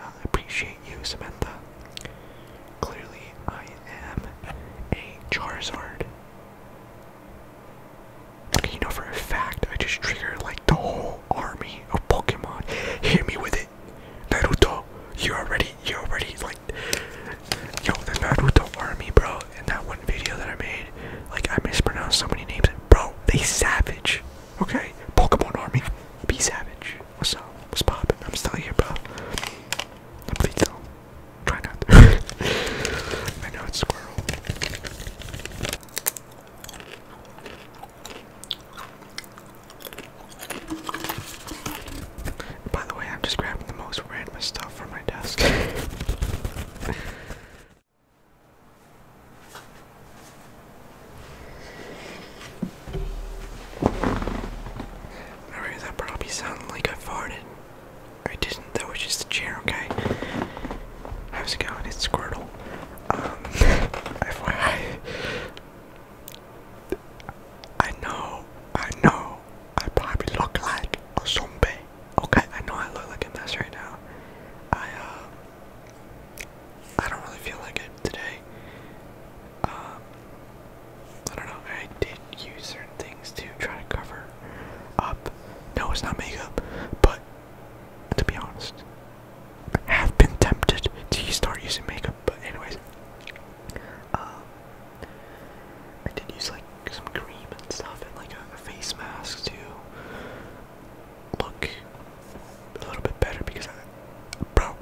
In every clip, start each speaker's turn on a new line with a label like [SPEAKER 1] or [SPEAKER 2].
[SPEAKER 1] I appreciate you, Samantha. Clearly, I am a Charizard. You know for a fact, I just triggered like the whole army of Pokemon. Hear me with it. Naruto, you are ready you already like yo the army bro in that one video that I made like I mispronounced so many names bro they savage okay Pokemon army be savage what's up what's poppin I'm still here bro I'm still not not I know it's squirrel by the way, I'm just grabbing the most random stuff from my desk. Alright, that probably sounded like I farted. I didn't, that was just the chair, okay? How's it going? It's Squirtle. Um, FYI. I know, I know, I probably look like a zombie. Okay, I know I look like a mess right now. I uh I don't really feel like it today. Um I don't know, I did use certain things to try to cover up. No, it's not makeup, but to be honest, I have been tempted to start using makeup, but anyways. Um I did use like some cream and stuff and like a, face mask to look a little bit better because I, bro,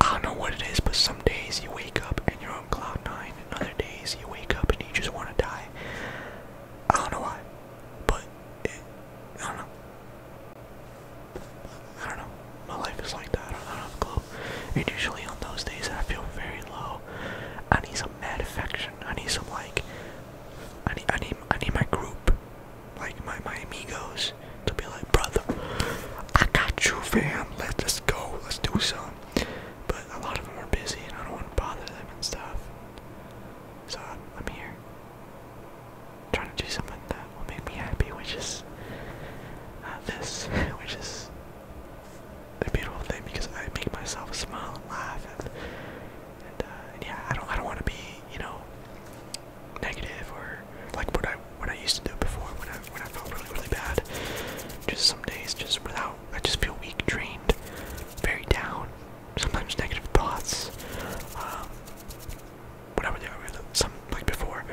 [SPEAKER 1] I don't know what it is, but some days you wake up and you're on cloud nine, and other days you wake up and you just want to die. I don't know why, but I don't know. I don't know my life is like that. I don't, I do have a clue. And usually on those days I feel very low, I need some mad affection. I need some like, I need, I need, I need my group, like my my amigos, to be like, brother, I got you, fam. Let's just go. Let's do some. But a lot of them are busy, and I don't want to bother them and stuff. So I'm, here, trying to do something that will make me happy, which is. Uh, this, which is a beautiful thing because I make myself smile and laugh and, uh, yeah I don't I don't want to be you know negative or like what I what I used to do before when I when I felt really really bad just some days just without I just feel weak drained very down sometimes negative thoughts um, whatever they are some like before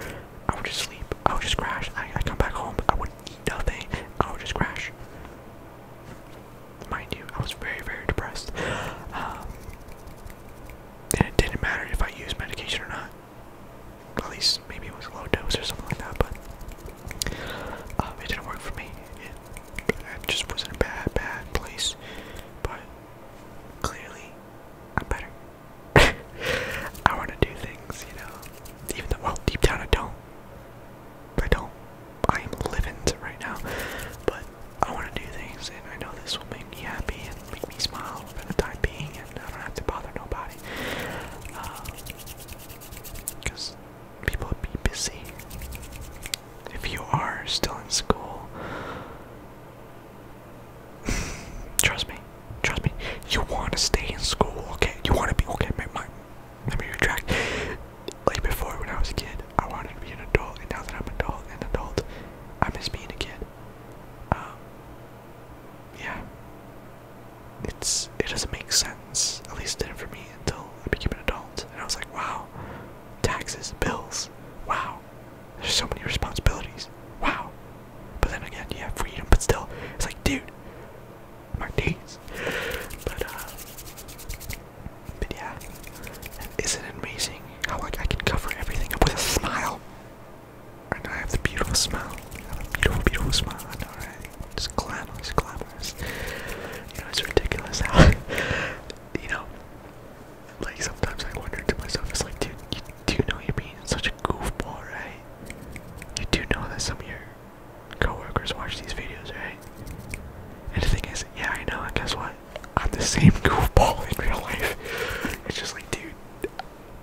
[SPEAKER 1] I would just sleep. I would just crash. I, come back home. I would eat nothing. I would just crash. Mind you, I was very, very depressed. Um, and it didn't matter if I used medication or not. At least maybe it was a low dose or something like that, but um, it didn't work for me. It, I just was in a bad, bad place. But clearly, I'm better. I want to do things, you know. Even though, well, deep down I don't. I don't. I am living right now. But I want to do things, and I know this will make me happy and make me smile for the time being, and I don't have to bother nobody. Because um, people would be busy. If you are still in school, trust me, Trust me, you want to stay in school, okay? You want to be, okay, my, my, let me retract. Like before, when I was a kid, I wanted to be an adult, and now that I'm adult, an adult, I miss being a kid. Um, yeah. it doesn't make sense, at least it didn't for me until I became an adult, and I was like, wow, taxes, bills, wow, there's so many responsibilities, wow, but then again, yeah, freedom, but still, it's like, dude, my days. But, uh, but yeah, isn't it amazing how, like, I can cover everything up with a smile? And I have the beautiful smile. I have a beautiful, beautiful smile. I know, right? Just glamorous, glamorous. You know, it's ridiculous how, you know, like, sometimes I wonder to myself, it's like, dude, you do you know you're being such a goofball, right? You do know that some of your coworkers watch these videos, right? And the thing is, yeah, I know, and guess what? I'm the same goofball in real life. It's just like, dude,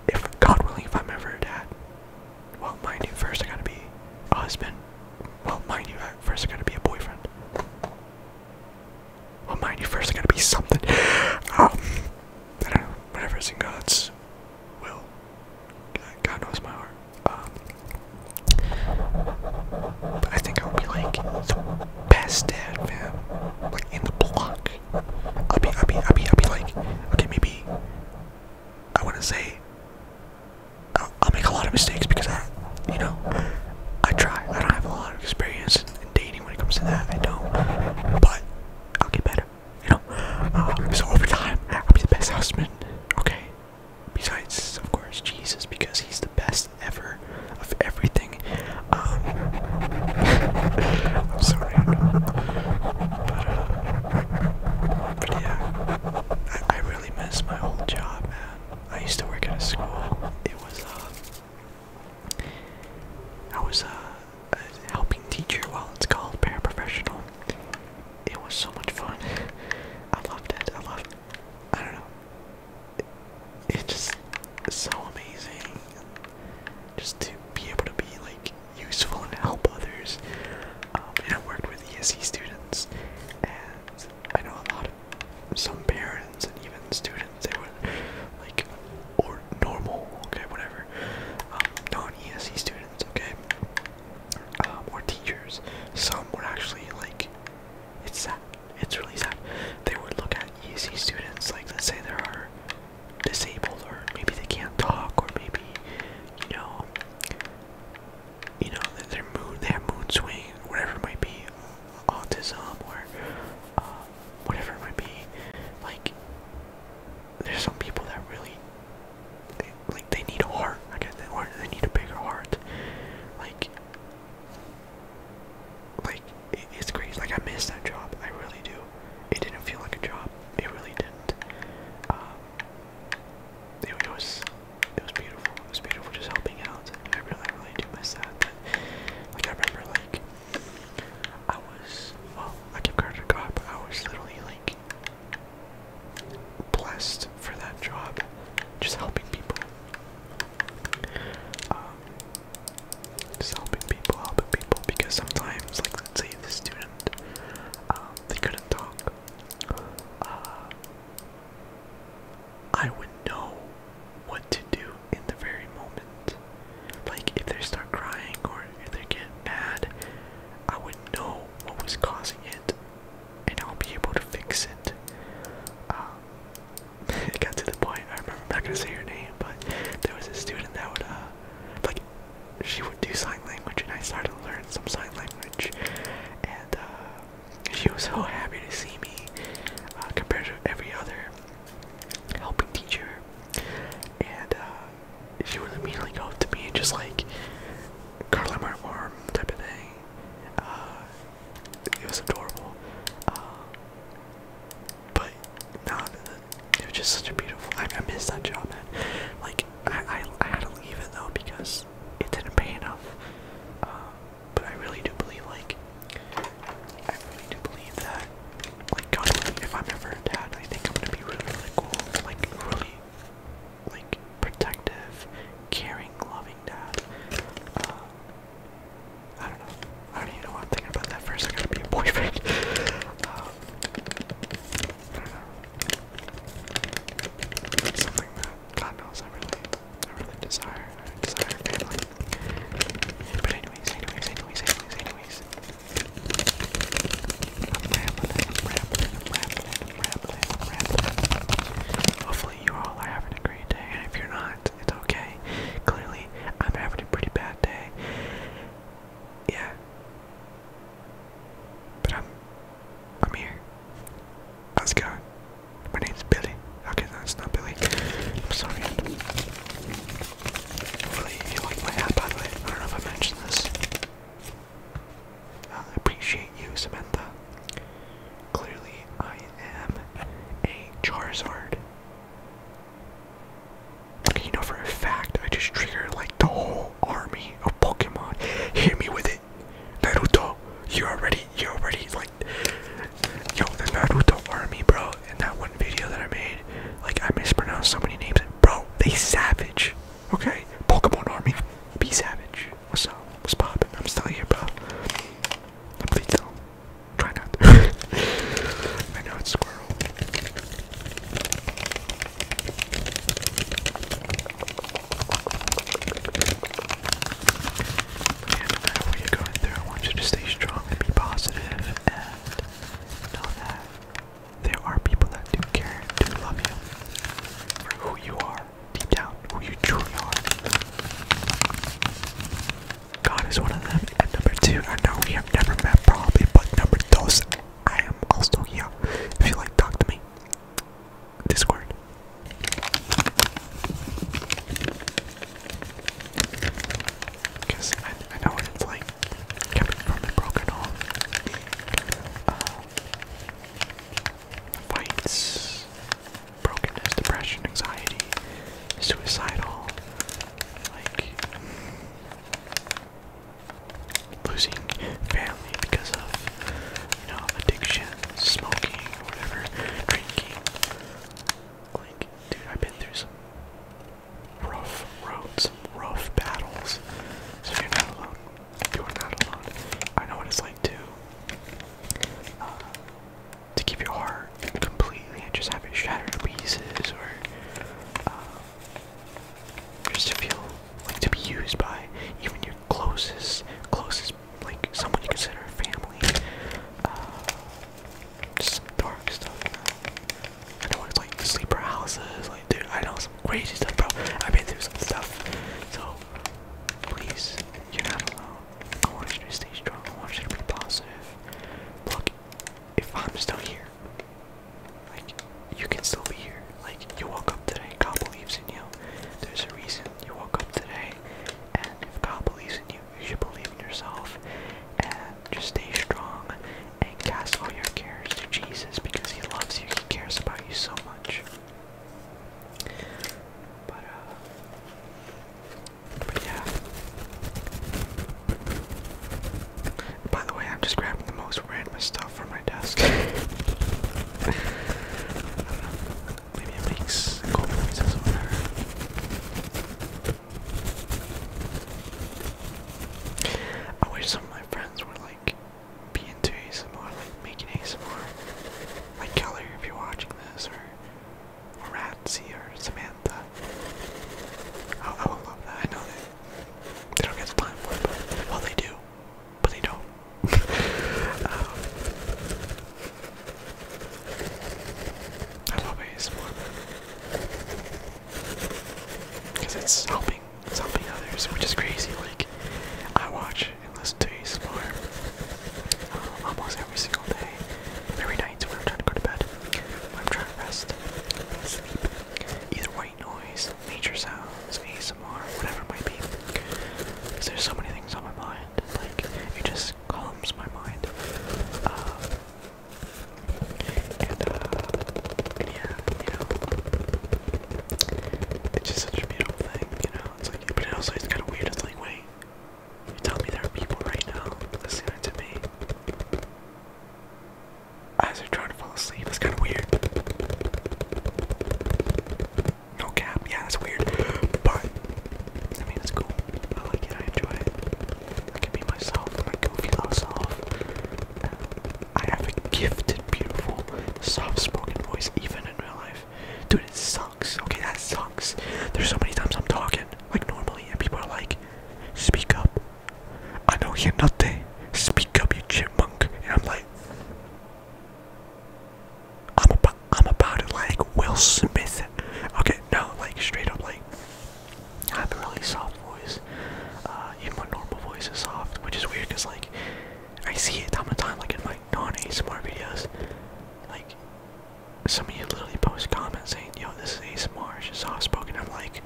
[SPEAKER 1] if God willing, if I'm ever a dad, well, mind you, first I gotta be a husband. Well, mind you, first I gotta be a boyfriend. Well, mind you, first I gotta be something. Um, I don't know, whatever is in God's will. God knows my heart. Um, but I think I'll be like the best dad, man. Like in the block. I'll be, I'll be, I'll be, I'll be like, okay, maybe. I want to say. I'll, make a lot of mistakes because I, you know, I try. I don't have a lot of experience in dating when it comes to that. I don't. But I'll get better you know. Uh, so over time, I'll be the best husband, okay? Besides, of course, Jesus, because he's the best ever of everything. Um, I'm sorry, I But, uh, yeah, I really miss my old job, man. I used to work at a school. It was, uh, I was, uh, a helping teacher while it's called paraprofessional. It was so much fun. I loved it. I loved. I don't know. It's just so amazing. Just to be able to be like useful and help others. Um, and I worked with ESE students, and I know a lot of some parents and even students. They were like or normal, okay, whatever, um, non-ESE students, okay, uh, More teachers, some were actually, like, it's sad, it's really sad, they would look at ESE students, like, let's say there are disabled, or maybe they can't talk, or maybe, you know, you know, they're mood, they have mood swing, whatever it might be, autism, or, uh, whatever it might be, like, there's some people that really like they need a heart i guess they, or they need a bigger heart like like it's crazy like i miss that job i really do it didn't feel like a job it really didn't um, it, was it was beautiful it was beautiful just helping out i really really do miss that but like i remember like I was, well, I give credit to I was literally like blessed for that job, just helping people. Um, just helping people, helping people, because sometimes, like, let's say the student, um, they couldn't talk. Uh, I would know what to do in the very moment. Like, if they start crying or if they get mad, I would know what was causing it and I'll be able to fix it. Um, it got to the point, I remember, I'm not gonna say her name, but there was a student that would, uh, like, she would do sign language and I started to learn some sign language. And, uh, she was so happy to see me uh, compared to every other helping teacher. And, uh, she would immediately go up to me and just like curl my arm type of thing. Uh, it was adorable. Uh, but nah, it was just such a beautiful. I, missed that job, Like I, I, had to leave it though because it didn't pay enough. Uh, but I really do believe, like, I really do believe that like God if I'm ever a dad, I think I'm gonna be really, really cool, like really, like protective, caring, loving dad. Uh, I don't know. I don't even know what I'm thinking about that first. I gotta be a boyfriend. I don't know. something that God knows I really, I really desire. desire family. But anyways, anyways, anyways, anyways, anyways. I'm Hopefully you all are having a great day, if you're not, it's okay. Clearly, I'm having a pretty bad day. Yeah. But I'm I'm here. How's it going? My name's Billy. Okay, that's no, not Billy. I'm sorry. Hopefully you like my app, by the way. I don't know if I mentioned this. Uh, I appreciate you, Samantha. Clearly, I am a Charizard. you know for a fact, I just triggered like the whole army of Pokemon. Hit me with it, Naruto. You already, you already like, yo, the Naruto army, bro. In that one video that I made made. Like, I mispronounced so many names. Bro, they savage. Okay? Pokemon Army. Be savage. What's up? What's poppin'? I'm still here, bro. Please don't. Try not to. I know it's squirrel. Yeah, no matter what you're going through, I want you to stay strong and be positive and know that there are people that do care, do love you for who you are, deep down, who you truly are. God is one of them. And number two, I know we have never met probably, but number two, I am also here. If you like, talk to me. Discord because I, I know what it's like coming from a broken home. Um, fights, brokenness, depression, anxiety, suicidal, like losing family because of addiction, smoking, whatever, drinking. Like, dude, I've been through some rough roads, rough battles. So you're not alone. You are not alone. I know what it's like to uh, to keep your heart completely and just have it shattered to pieces, or uh, just to feel like to be used by even your closest, closest, like someone you consider a family. Uh, just dark stuff. You and I went to like sleeper houses, like dude, I know some crazy stuff, bro. I've been through some stuff. So please, you're not alone. I want you to stay strong. I want you to be positive. Look, if I'm still here, like you can still be here. Like you woke up today, God believes in you. There's a reason you woke up today, and if God believes in you, you should believe in yourself and just stay strong and cast all your cares to Jesus because he loves you. He cares about you so much. But, uh, but yeah. By the way, I'm just grabbing the most random stuff from my desk. I don't know. Maybe it makes cold noises I wish some of my friends were like being into ASMR, like making ASMR. Like Kelly if you're watching this, or Ratsy or Samantha. I, I would love that. I know that they don't get the time for but well, they do, but they don't. um, I love ASMR. Because it's helping, it's helping others, which is crazy. Like, I watch and listen to ASMR um, uh, almost every single day, every night when I'm trying to go to bed, I'm trying to rest, sleep. Either white noise, nature sounds, ASMR, whatever it might be. Because there's so many things on my mind, like, it just calms my mind. Uh, uh, it's just such a beautiful thing, you know, it's like, but it also it's kind of weird, it's like, wait, you tell me there are people right now listening to me as they're trying to fall asleep, it's kind of weird. No cap, yeah, that's weird, but, I mean, it's cool, I like it, I enjoy it. I can be myself, and I little feel Um, I have a gifted, beautiful, soft-spoken voice, even in real life. Dude, it sucks. Okay, that sucks. There's so many times I'm talking like normally, and people are like, "Speak up." I know you're nothing. Speak up, you chipmunk. And I'm like, I'm about, I'm about it like Will Smith. Okay, no, like straight up, like I have a really soft voice. even uh, my normal voice is soft, which is weird because like I see it time to time, like in my non-ASMR videos. Like some of you literally post comments saying, "Yo, this is ASMR, it's soft-spoken." I'm like,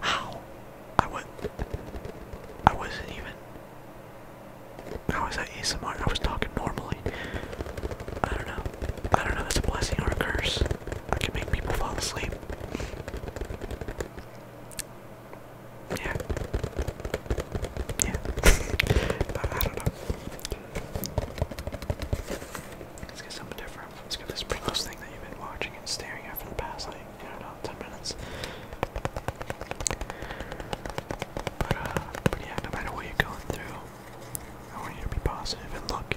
[SPEAKER 1] how? I would. I wasn't even. How that ASMR? I was talking normally. I don't know. I don't know, that's a blessing or a curse. I can make people fall asleep. Yeah. Yeah. I don't know. Let's get something different. Let's get this Pringles thing that you've been watching and staring at for the past, like, I don't know, 10 minutes. But, uh, yeah, no matter what you're going through, I want you to be positive and look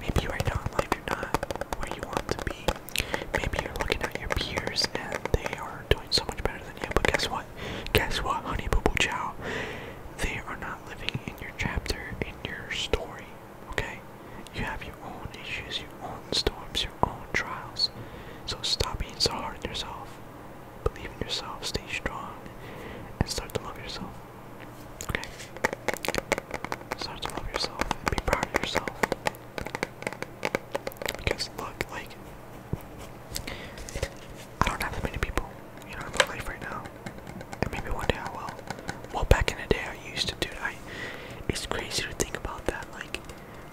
[SPEAKER 1] maybe right now in life you're not where you want to be. Maybe you're looking at your peers and they are doing so much better than you, but guess what? Guess what, honey boo boo chow? They are not living in your chapter, in your story, okay? You have your own issues, your own storms, your own trials. So stop being so hard on yourself. Believe in yourself, stay strong, and start to love yourself. Okay. Start to love yourself be proud of yourself. Because look, like I don't have that many people, you know, in my life right now. And maybe one day I will. Well back in the day I used to do I it's crazy to think about that. Like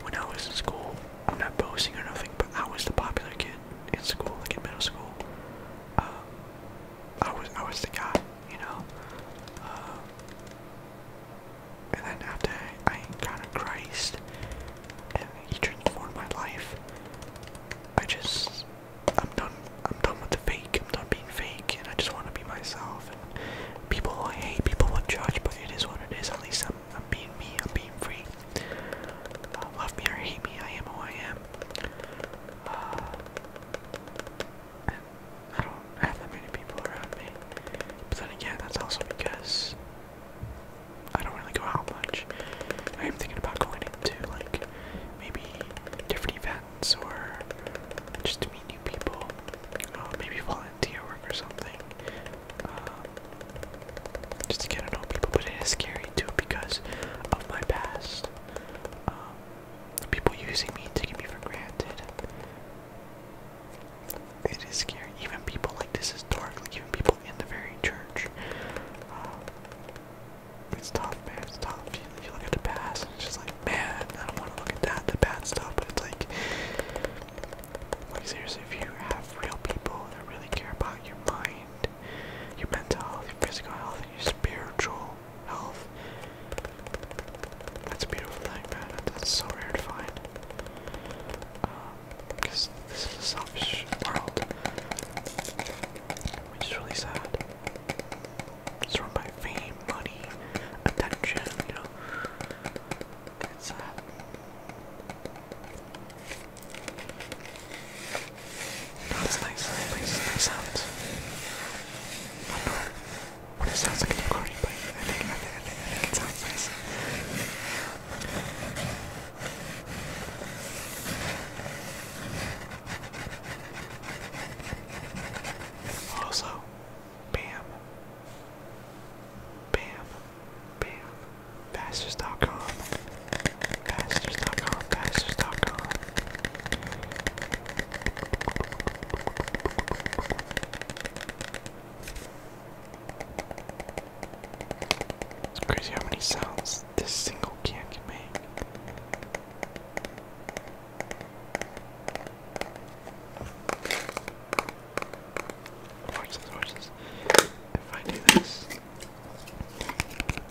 [SPEAKER 1] when I was in school, I'm not boasting or nothing, but I was the popular kid in school, like in middle school. Um, I was I was the guy, you know. Um, and then after I encountered Christ and He transformed my life, I just I'm done. I'm done with the fake. I'm done being fake, and I just want to be myself. people will hate, people will judge, but it is what it is. At least I'm, I'm being me. I'm being free. Uh, love me or hate me, I am who I am. Uh, I don't have that many people around me. But then again, that's also because I don't really go out much. I am thinking about going into like maybe different events or just to meet new people. Uh, maybe volunteer work or something. Um, just to get to know people, but it is scary too because of my past. Um, people using me, taking me for granted. It is scary. Even people like this is dark. Like even people in the very church. Um, it's tough, man. It's tough. you look at the past, and it's just like, man, I don't want to look at that, the bad stuff. But it's like, like seriously, if you have real people that really care about your mind your mental health, your physical health, and your spiritual health. That's a beautiful thing, man. That's so rare to find. Because um, this is a selfish world. Which is really sad. Surrounded by fame, money, attention, you know. It's sad. No, it's nice. It nice sounds. I what it sounds like in recording, but I think, it sounds nice. Also, bam, bam, bam, Fasters.com, Fasters.com, Fasters.com. It's crazy how many sounds this single can can make. Watch this, watch this. If I do this,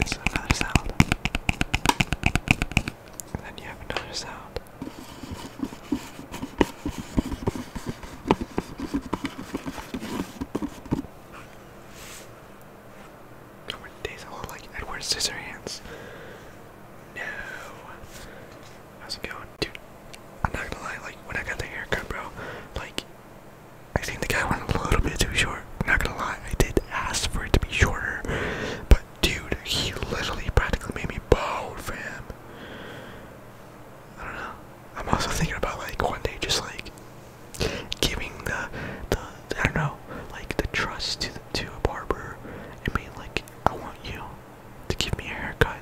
[SPEAKER 1] it's another sound. then you have another sound. Oh, days all like Edward Scissorhands. No. How's it going? Dude, I'm not gonna lie, like, when I got the haircut, bro, like, I think the guy went a little bit too short long. Not gonna lie, I did ask for it to be shorter, but dude, he literally practically made me bow, fam. I don't know. I'm also thinking about like one day just like giving the the I don't know like the trust to to a barber and being like, I want you to give me a haircut.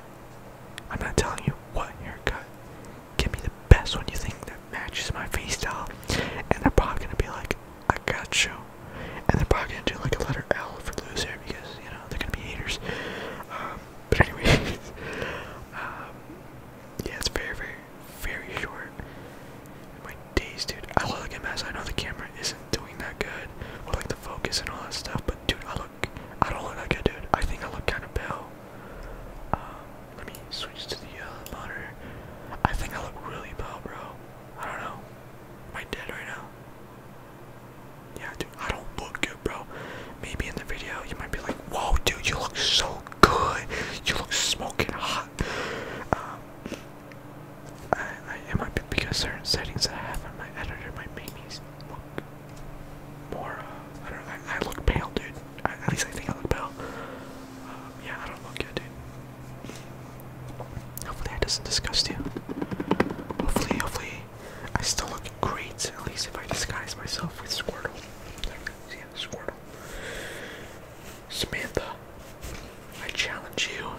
[SPEAKER 1] I'm not telling you what haircut. Give me the best one you think that matches my face style, and they're probably gonna be like, I got you. And they're probably gonna do like a letter L for loser because you know they're gonna be haters. Um, but anyways, um, yeah, it's very, very, very short. My days, dude. I look at mess. I know the camera isn't doing that good, or like the focus and all that stuff. But dude, I look, I don't look that good, dude. I think I look kind of pale. Um, let me switch to the uh, monitor. I think I look really pale, bro. I don't know. Am I dead right now? Yeah, dude, I don't look good, bro. Maybe in the video you might be like, whoa, dude, you look so good. You look smoking hot. Um, it might be because certain settings I have on my editor might make me look more, uh, I don't know, I, look pale, dude. at least I think I look pale. Um, yeah, I don't look good, dude. Hopefully that doesn't disgust you. Hopefully, hopefully I still look great, at least if I disguise myself with Squirtle. Yeah, Squirtle. Samantha, I challenge you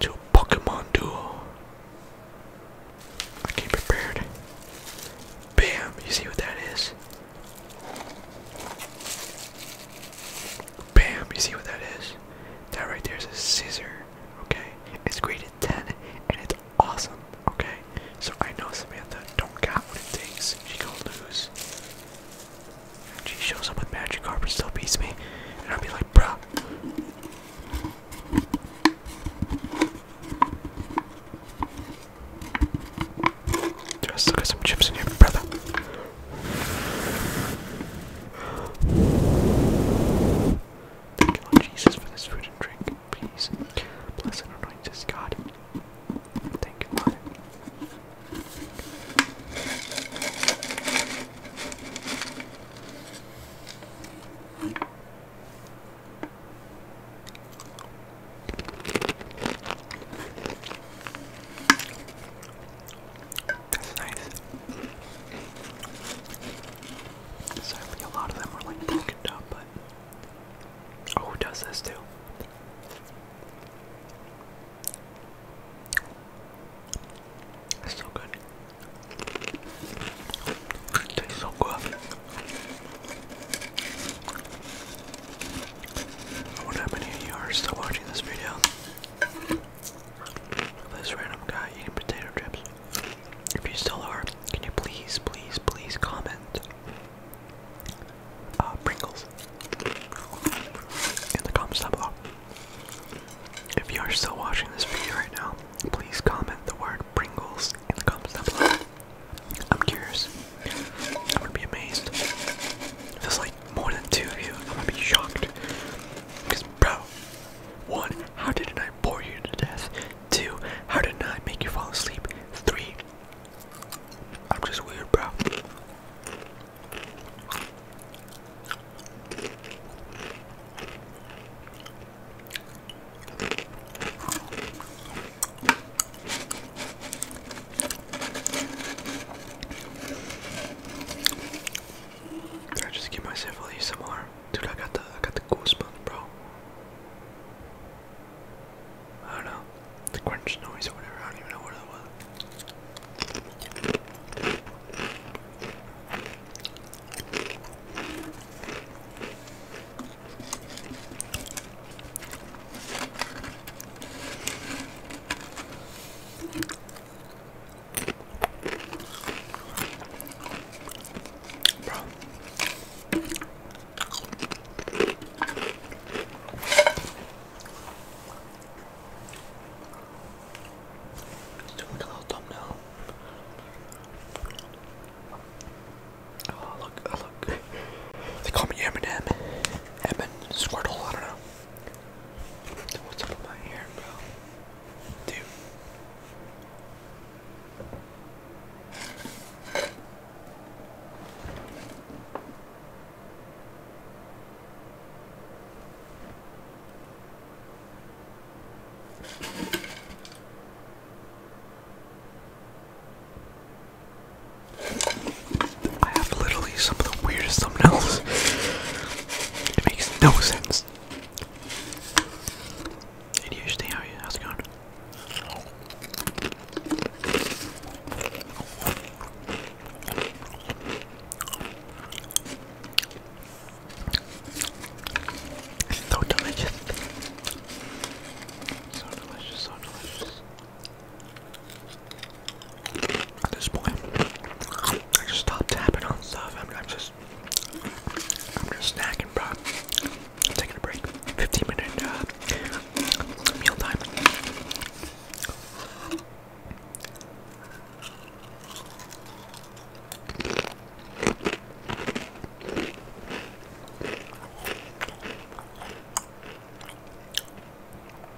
[SPEAKER 1] to a Pokemon duel. I came prepared. Bam, you see what that is? Bam, you see what that is? That right there is a scissor, okay? It's graded 10 and it's awesome, okay? So I know Samantha don't got what it takes. She gonna lose. she shows up with magic carpet, still beats me. And I'll be like, bruh. Just look at some chips in here, brother. Thank you, Jesus, for this food and drink. Please, bless and anoint us, God. Thank you, Lord. That's nice. Sadly, a lot of them are like broken up, but. Oh, who does this too? It's so good. It tastes so good. I wonder how you are still watching this video. This random guy eating potato chips. If you still are, can you please, please, please comment uh, Pringles in the comments down below. If you are still watching this video right now, please comment the word Pringles in the comments down below. I'm curious I'm gonna be amazed. If there's like more than two of you, I'm gonna be shocked. Because, bro, one, how didn't I bore you to death? Two, how did I make you fall asleep? Three, I'm just weird, bro. I just give myself a some more. Dude, I got the I got the goosebumps, bro. I don't know. The crunch noise or whatever, I don't even know what it was. Oh, look, oh, look. They call me Eminem. Emin Squirtle, I don't know what's up with my hair, bro? Dude. I have literally some of the weirdest thumbnails. It makes no sense. How's it going? so delicious. So delicious, so delicious. At this point, I just stopped tapping on stuff. I'm, just, I'm just snacking, bro. taking a break. 15 minute job. Uh, meal time.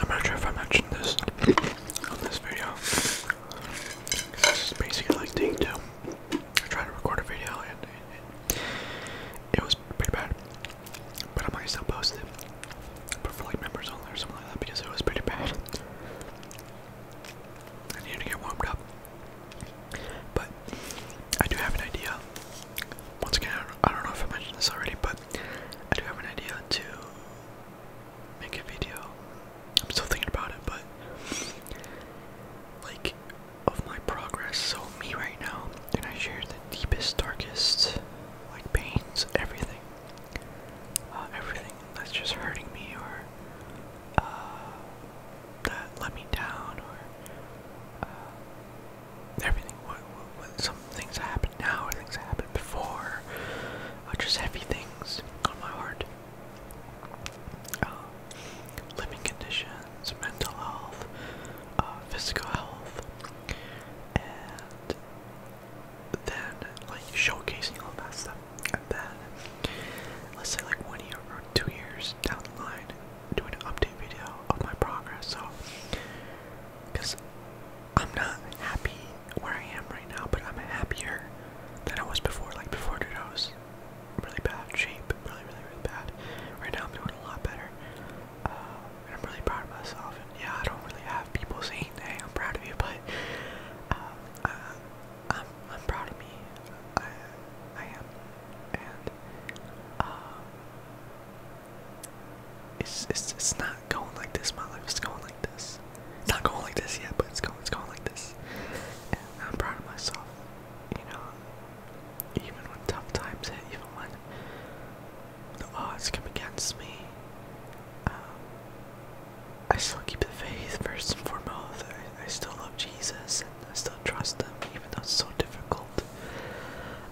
[SPEAKER 1] I'm not sure if I mentioned this on this video. This is basically like take two. I tried to record a video and it, was pretty bad, but I might still post it. for like members only or something like that because it was pretty bad. I need to get warmed up. But I do have an idea. Once again, I don't know if I mentioned this already, but I do have an idea to make a video. I'm still thinking about it, but like of my progress. So me right now, and I share the deepest, darkest, like pains, everything, uh, everything that's just hurting me or. Uh, that let me down or uh, everything. What, what, what, some things happen now or things that happened before are uh, just heavy things on my heart. Uh, living conditions, mental health, physical health, and then like showcasing all that stuff. And then, let's say like one year two years down the line, doing an update video of my progress, so because I'm not happy where I am right now, but I'm happier than I was before. Like before, dude, I was really bad shape, really, really, really bad. Right now, I'm doing a lot better, uh, and I'm really proud of myself. And yeah, I don't really have people saying, "Hey, I'm proud of you," but I, am um, uh, I'm proud of me. I am and um, it's it's it's not going like this. My life is going like this. It's not going like this yet, but it's going it's going like this. And I'm proud of myself. You know, even when tough times hit, even when the odds come against me, um, I still keep the faith first and foremost. I, I still love Jesus. I still trust them, even though it's so difficult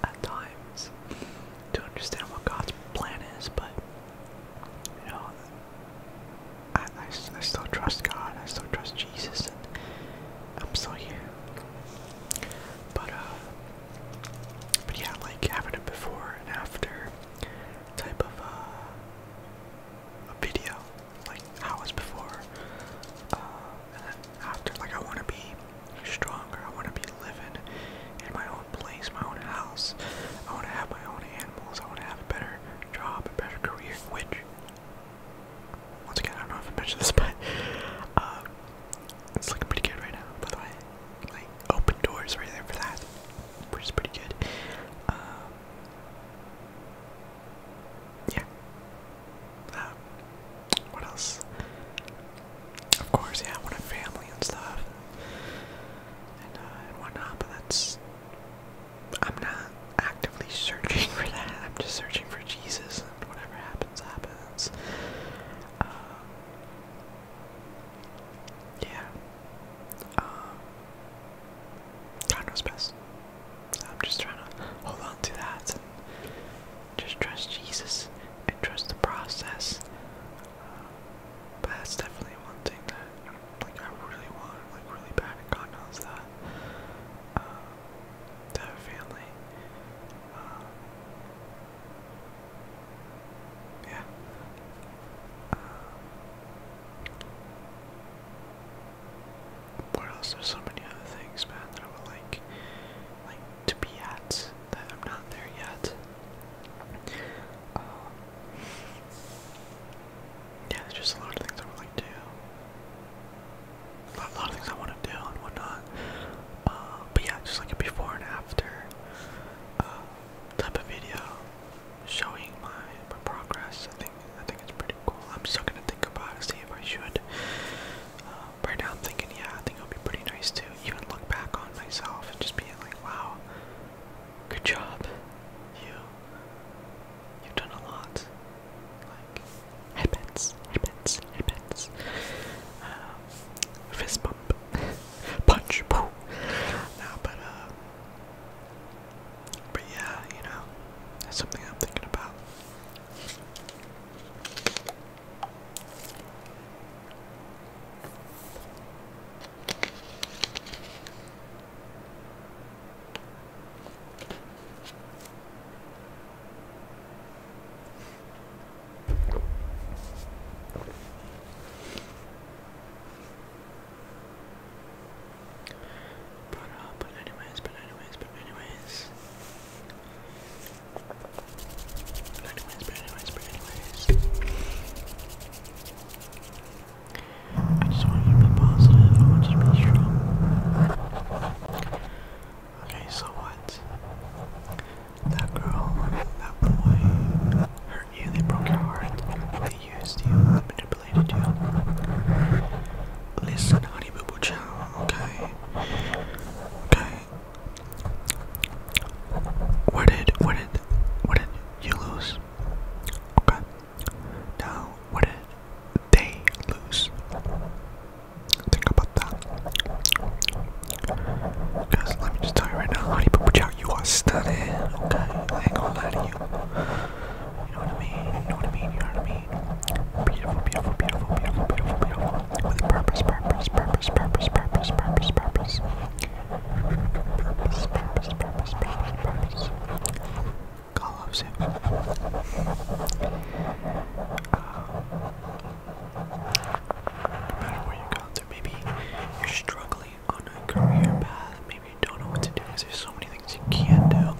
[SPEAKER 1] at times to understand what God's plan is. But you know, I, I, still trust God. I still trust Jesus, and I'm still here. But uh, but yeah, like having a before and after type of uh, a video like I was before. Uh, and then after, like I want to be stronger. I want to be living in my own place, my own house. I want to have my own animals. I want to have a better job, a better career. Which, once again, I don't know if I mentioned this, but um, it's looking pretty good right now. By the way, like open doors right there for that, which is pretty good. Um, yeah. Um, what else? Of course, yeah, I a family and stuff, uh, and, whatnot. But that's I'm not actively searching for that. I'm just searching for Jesus, and whatever happens, happens. Um, yeah. Um, God knows best. I'm just trying to hold on to that and just trust Jesus and trust the process. Uh, but that's definitely one thing that like I really want, like really bad and God knows that. Uh, family. Uh, yeah. Uh, what else? There's so many other things, man, that I would like, like to be at that I'm not there yet. Um, yeah, there's just a lot of things I would like to do. A lot, of things I want to do and whatnot. Uh, but yeah, just like a before and after uh, type of video showing my my progress. I think I think it's pretty cool. I'm still gonna think about see if I should right now I'm thinking, yeah, I think it'll be pretty nice to even look back on myself and just be like, wow, good job. You, you've done a lot. Like, headbands, headbands, headbands. Um, fist bump, punch, poo. No, but, uh, but yeah, you know, that's something I'm thinking about. But uh, but anyways, but anyways, but anyways. I just want you to be positive, I want you to be strong. Okay, so what? That girl, that boy hurt you, they broke your heart, they used you, they manipulated you. Listen, honey boo boo chow, okay? Okay. Where did where did what did you lose? Okay. Now what did they lose? Think about that. Because let me just tell you right now, honey, but out, you are stunning. Okay, I ain't gonna lie to you. You know what I mean? You know what I mean? You know what I mean? Beautiful, beautiful, beautiful, beautiful, beautiful, beautiful. With purpose, purpose, purpose, purpose, purpose, purpose, purpose. Purpose, purpose, purpose, purpose, purpose. God loves you. No matter where you're going through, maybe you're struggling on a career path, maybe you don't know what to do because there's so many things you can't do.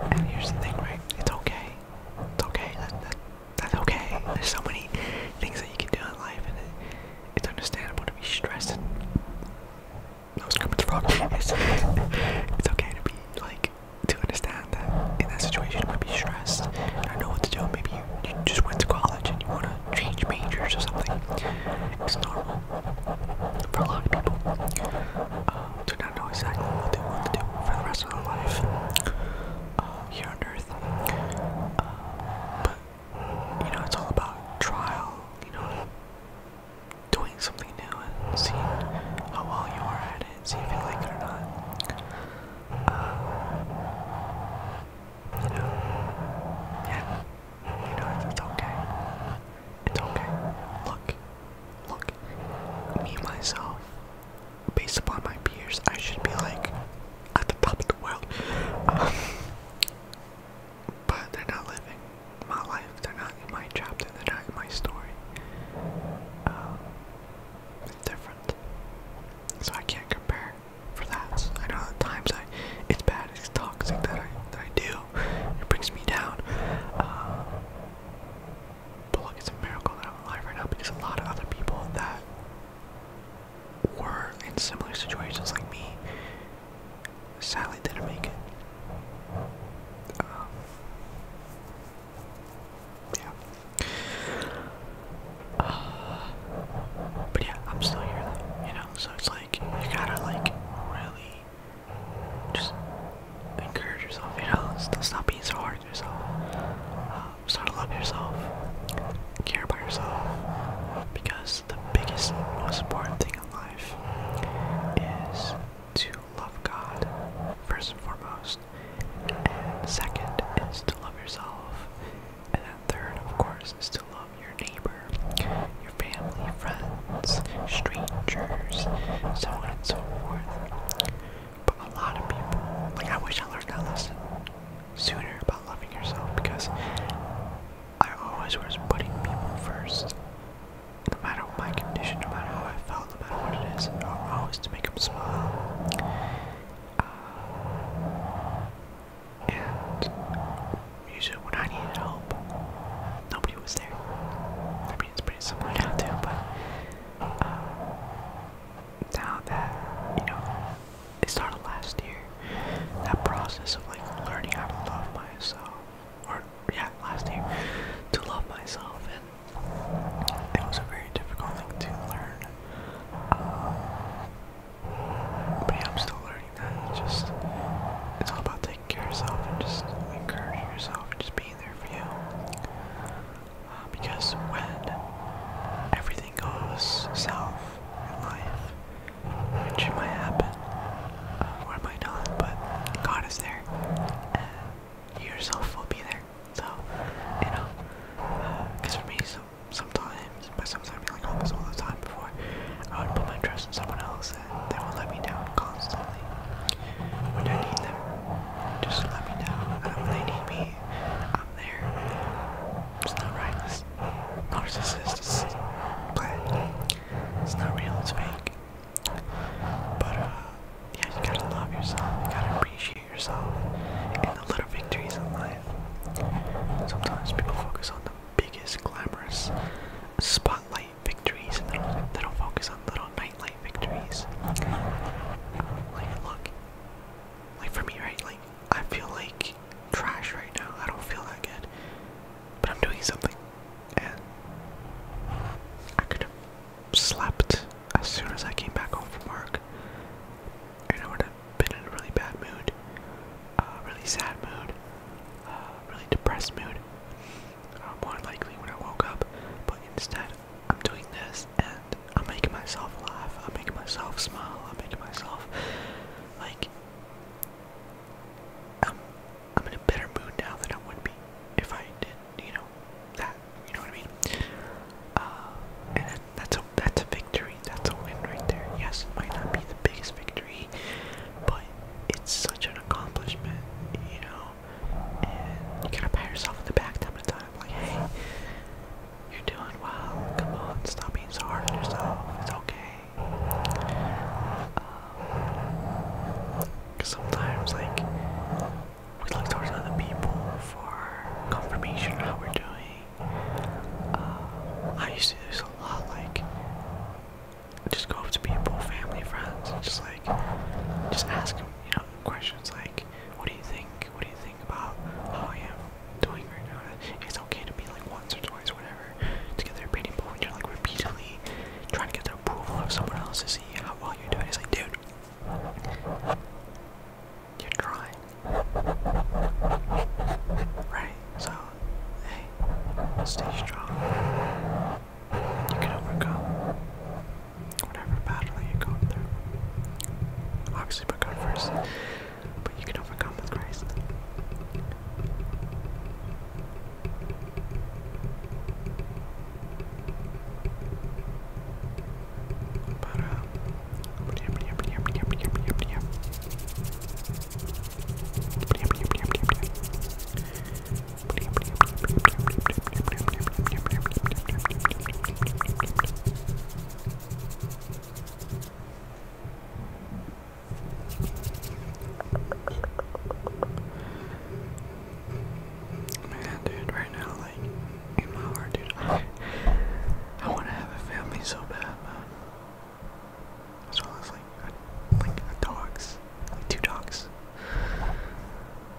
[SPEAKER 1] And here's the thing, right? It's okay. It's okay. That, that, that's okay. There's so many things that you can do in life, and it, it's understandable to be stressed. And no scripts wrong. It's, it's okay to be like to understand that in that situation you might be stressed. I don't know what to do. Maybe you, you just went to college and you want to change majors or something. It's normal for a lot of people. Uh, um, to I do not know exactly what they want to do for the rest of their life uh, here on Earth. Uh, but, you know, it's all about trial, you know, doing something new and seeing how well you are at it, see if you like it or not. Uh, you know, yeah, you know, it's okay. It's okay. Look, look. Me, myself, based upon my peers, I should be like at the top of the world. but they're not living my life. They're not in my chapter. They're not in my story. it's um, different. So I can't compare for that. I know at times I, it's bad, it's toxic that I, that I do. It brings me down. Um, but look, it's a miracle that I'm alive right now because a lot of other people that were in similar situations like me sadly didn't make it. Um, yeah. but yeah, I'm still here you know, so it's like you gotta like really just encourage yourself, you know, stop being so hard on yourself, um, start to love yourself, care about yourself, because the biggest, most important thing in life is to love God, first and foremost, and second is to love yourself, and then third, of course, is to love your neighbor, your family, your friends, strangers, so on and so forth. But a lot of people, like I wish I learned that lesson sooner about loving yourself because I always was putting people first. No matter my condition, no matter how I felt, no matter what it is, always to make them smile. Uh, and usually when I needed help, nobody was there. I mean, pretty similar now too, but uh, now that you know it started last year, that process of like learning how to love myself, or yeah, last year to love myself, and it was a very difficult thing to learn. Um, but I'm still learning that. just it's all about taking care of yourself and just encouraging yourself and just being either for you. Uh, because when everything goes south in life, which might happen uh, or might not, but God is there, yourself will be there. So, you know, because uh, for me, so, sometimes, but sometimes I'd be like almost all the time before, I would put my trust in someone else they will let me down constantly. When I need them, just let me down. when they need me, I'm there. It's not right. This It's not real. It's fake. But uh, yeah, you gotta love yourself. You gotta appreciate yourself and the little victories in life. Sometimes people focus on the biggest, glamorous spotlight victories and they don't, focus on little nightlight victories. like, look, like for me, right? Like, I feel like trash right now. I don't feel that good, but I'm doing something, and I could have slept as soon as I came back home from work, and I would have been in a really bad mood, uh, really sad mood, uh, really depressed mood uh, more likely when I woke up, but instead I'm doing this and I'm making myself laugh, I'm making myself smile, I'm making myself like I'm in a better mood now than I would be if I did, you know, that. You know what I mean? Uh, and that's a that's a victory, that's a win right there. Yes, it might not be the biggest victory, but it's such an accomplishment, you know, and you gotta pat yourself in the back time to time, like, hey, you're doing well, come on, stop being so hard on yourself, it's okay. Um, cause sometimes, like, we look towards other people for confirmation how we're doing. Um, I used to do this a lot, like, just go up to people, family, friends, and just like, just ask them, you know, questions like, what do you think? What do you think about how I am doing right now? It's okay to be like once or twice, whatever, to get their opinion, but when you're like repeatedly trying to get the approval of someone else to see how well you're doing, it's like, dude, you're trying. Right? So, hey, stay strong. You can overcome whatever battle you go through. Obviously, put first, but you can overcome with Christ. But, uh, Man, dude, right now, like, in my heart, dude, I, want to have a family so bad, man. As well as, like, like, dogs, two dogs.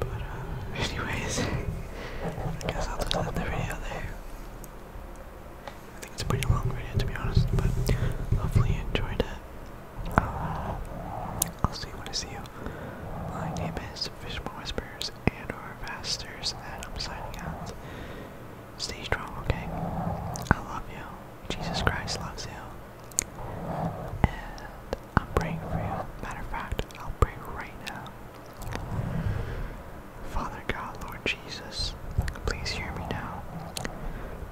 [SPEAKER 1] But, uh, anyways, I guess I'll just end the video there. I think it's a pretty long video to be honest, but hopefully you enjoyed it. I'll see you when I see you. My name is Fishman Whispers and our Vasters, and I'm signing out. Stay strong, okay? I love you. Jesus Christ loves you. And I'm praying for you. Matter of fact, I'll pray right now. Father God, Lord Jesus, please hear me now.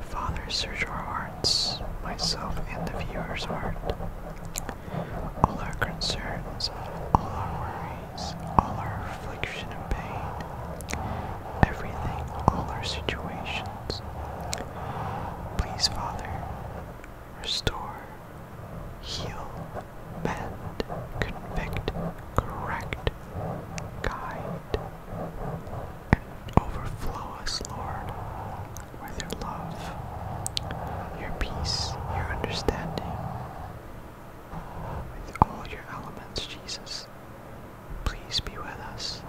[SPEAKER 1] Father, search our hearts, myself and the viewer's heart all our concerns, all our worries, all our affliction and pain, everything, all our situations. Please, Father, restore, heal, mend, convict, correct, guide, and overflow us, Lord, with your love, your peace, your understanding, with all your elements, Jesus. Please be with us.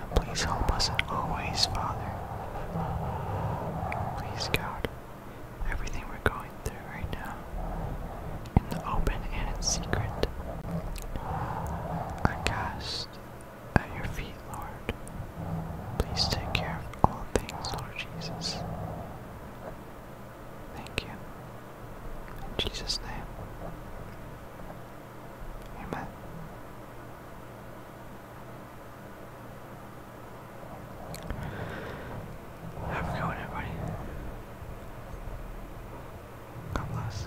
[SPEAKER 1] And please help us in always, Father. Please, God, everything we're going through right now, in the open and in secret, I cast at your feet, Lord. Please take care of all things, Lord Jesus. Thank you. In Jesus' name. Amen. Have a good one, everybody. God bless.